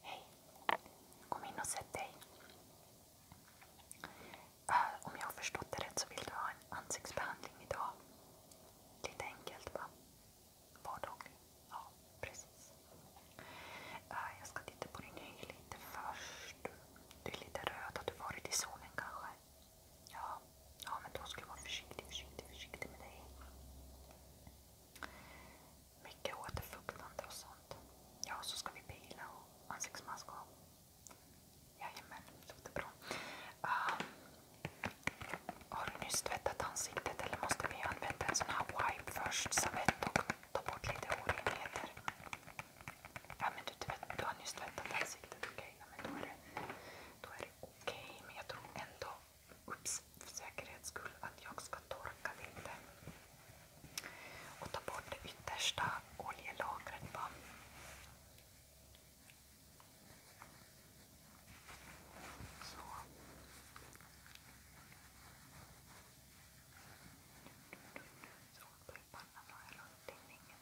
Hej, kom in och sätt dig. Äh, om jag har förstått det rätt så vill du ha en ansiktsbehandling idag. Lite enkelt va? Vardaglig. Ja, precis. Äh, jag ska titta på din hy lite först. Du är lite röd, har du varit i solen kanske? Ja, ja men då ska du vara försiktig, försiktig, försiktig med dig. Mycket återfuktande och sånt. Ja, så ska vi pila och ansiktsmask och... Jajamän, låter bra. Uh, har du nyss tvättat ansiktet eller måste vi använda en sån här wipe först, servett och ta bort lite orenheter? Ja, men du, har nyss tvättat ansiktet, okej. Okay. Ja, då är det, det okej. Okay. Men jag tror ändå Ups, för säkerhets skull att jag ska torka lite. Och ta bort det yttersta oljelagret. Bara. Så. Såpa pannan har runt tinningen.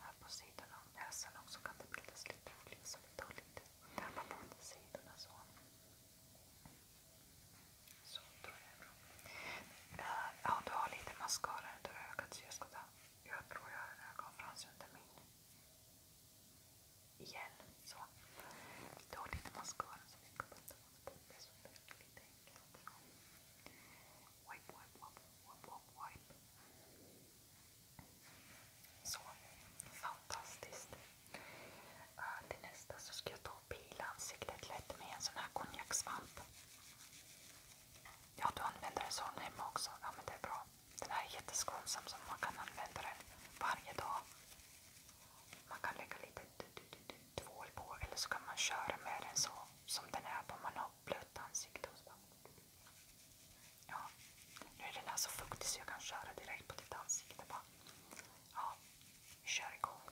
Här på sidan av näsan också kan det bildas lite flis och vi tar lite och på sidorna så. Så, då är bra. Eh, ja, du har lite mascara under ögat jag tror jag har en under min. Igen, så. Du har lite mascara som vi kan putta på. Det är så lite fantastiskt. Eh, till nästa så ska jag ta och pila ansiktet lätt med en sån här konjaksvamp. Ja, du använder en sån hemma också. Ja, men det är bra. Den här är jätteskonsam så man kan använda den varje dag. Man kan lägga lite tvål på eller så kan man köra med den så som den är på man har blött ansikte. Och så. Ja, nu är den här så fuktig så jag kan köra direkt på ditt ansikte. Bara. Ja, vi kör igång.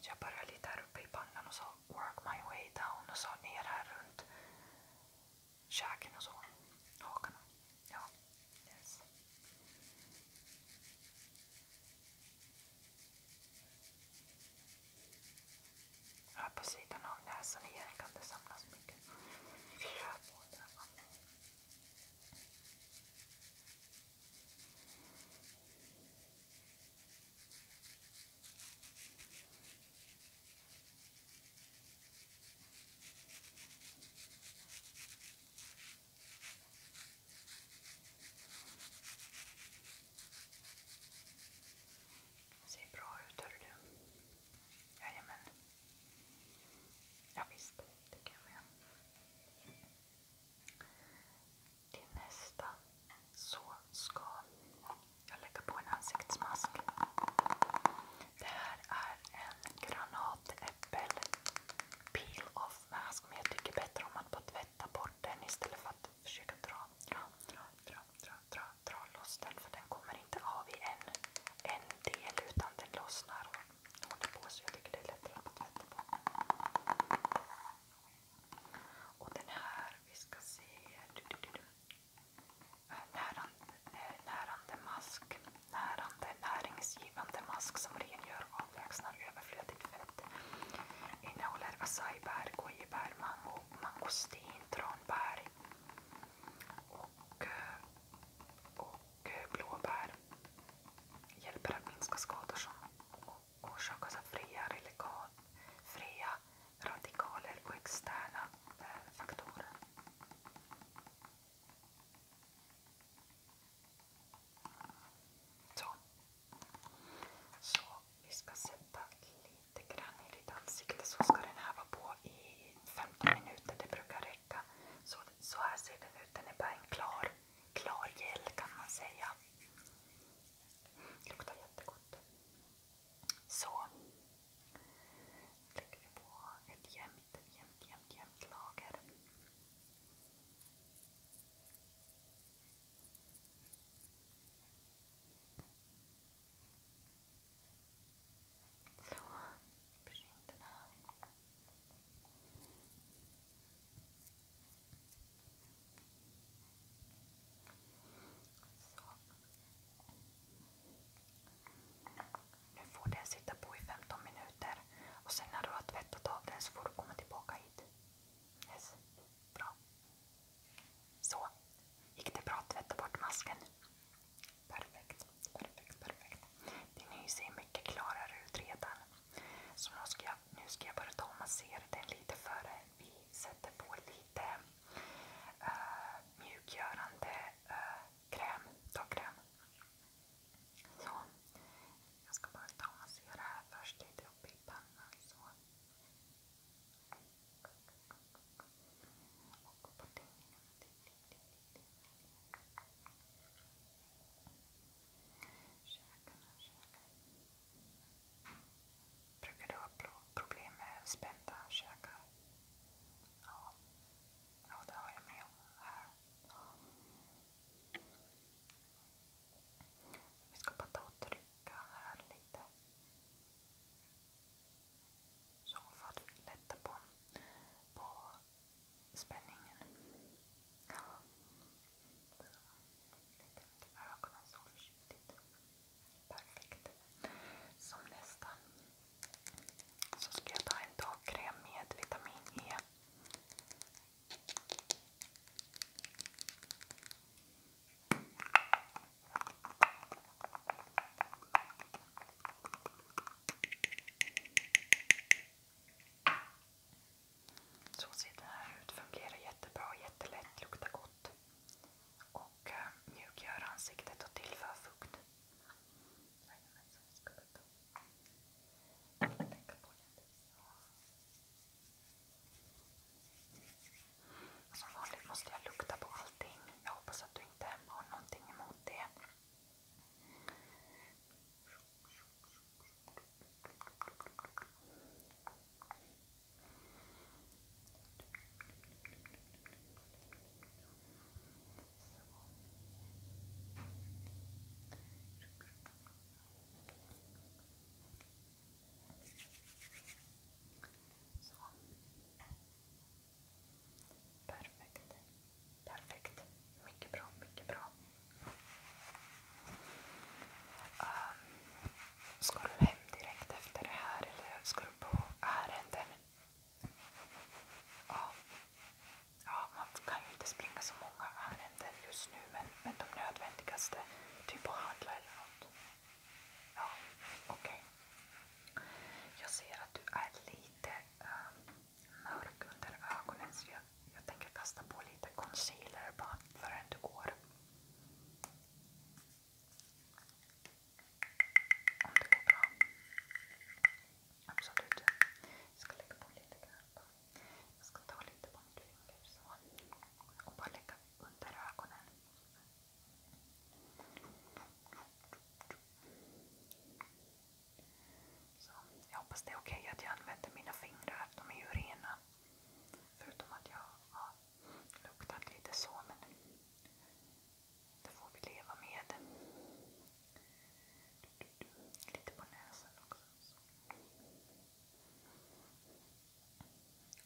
Så jag börjar lite här uppe i pannan och så work my way down och så ner här runt käken och så. Hakarna. Här på sidan av näsan igen kan det samlas mycket rödvård. Ser bra ut hör Jajamän. Ja, visst, jag med. Till nästa så ska jag lägga på en ansiktsmask. Det här är en granat äppel peel off mask men jag tycker bättre om att tvätta bort den istället för att försöka dra, loss den den kommer inte av i en, del utan den lossnar och håller på så jag tycker det är lättare att tvätta bort. Och den här, vi ska se närande mask. Närande, näringsgivande mask som rengör och avlägsnar överflödigt fett. Innehåller acai-bär, gojibär, mango, mangostin, tranbär och, eh, och eh, blåbär. Hjälper att minska skador som orsakas av fria, relikal, fria radikaler och externa eh, faktorer. Så. Så vi ska sätta lite grann i ditt ansikte så ska den här vara på i 15 minuter, det brukar räcka. Så, så här ser den ut, den är bara en klar, klar gel kan man säga. Luktar jättegott. Så, lägger vi på ett jämnt, jämnt, jämnt, lager. Så, printerna. Nu får den sitta på i 15 minuter och sen när du har tvättat av den så får du komma tillbaka hit. Yes. Bra. Så. Gick det bra att tvätta bort masken? Perfekt, perfekt, perfekt. Din hy ser mycket klarare ut redan. Så nu ska jag, nu ska jag bara ta och massera den lite före vi sätter på lite lite uh, mjukgörande uh, kräm, dagkräm. Så. Jag ska bara ta och massera här först lite upp i pannan. Så. Och på tingarna. Käkarna, käkarna. Brukar du ha problem med spända käkar? Ja. det har jag med om här. Vi ska bara ta och trycka här lite. Så för att lätta på, spänningen. ögonen så försiktigt. Perfekt. Som nästa så ska jag ta en dagkräm med vitamin E. Så ser den här ut. Fungerar jättebra, jättelätt, luktar gott och eh, mjukgör ansiktet och tillför fukt. Som vanligt måste jag lukta på allting. Jag hoppas att du inte har någonting emot det. Så. Perfekt. Mycket bra, mycket bra. Ehm, Ska du hem direkt efter det här eller ska du på ärenden? Ja. ja, man kan ju inte springa så många ärenden just nu men, men de nödvändigaste, typ att handla eller något. Ja, okej. Okay. Jag ser att du är lite äh, mörk under ögonen så jag jag tänker kasta på lite concealer bara förrän du går. Om det går bra. Absolut. Jag ska lägga på lite grann. Jag ska ta lite på mitt finger så. Och bara lägga under ögonen. Så jag hoppas det är okej att jag använder mina fingrar, de är ju rena. Förutom att jag har luktat lite så, det får vi leva med. Lite på näsan också.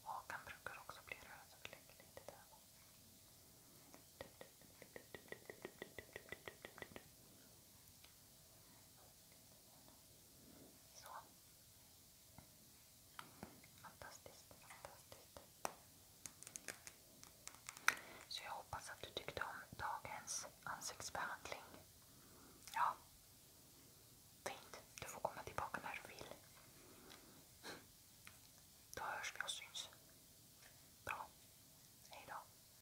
Hakan brukar också bli röd, så. Fantastiskt, fantastiskt. Så jag hoppas att du tyckte om dagens ansiktsbehandling. Ja. Fint. Du får komma tillbaka när du vill. Då hörs vi och syns. Bra. Hejdå.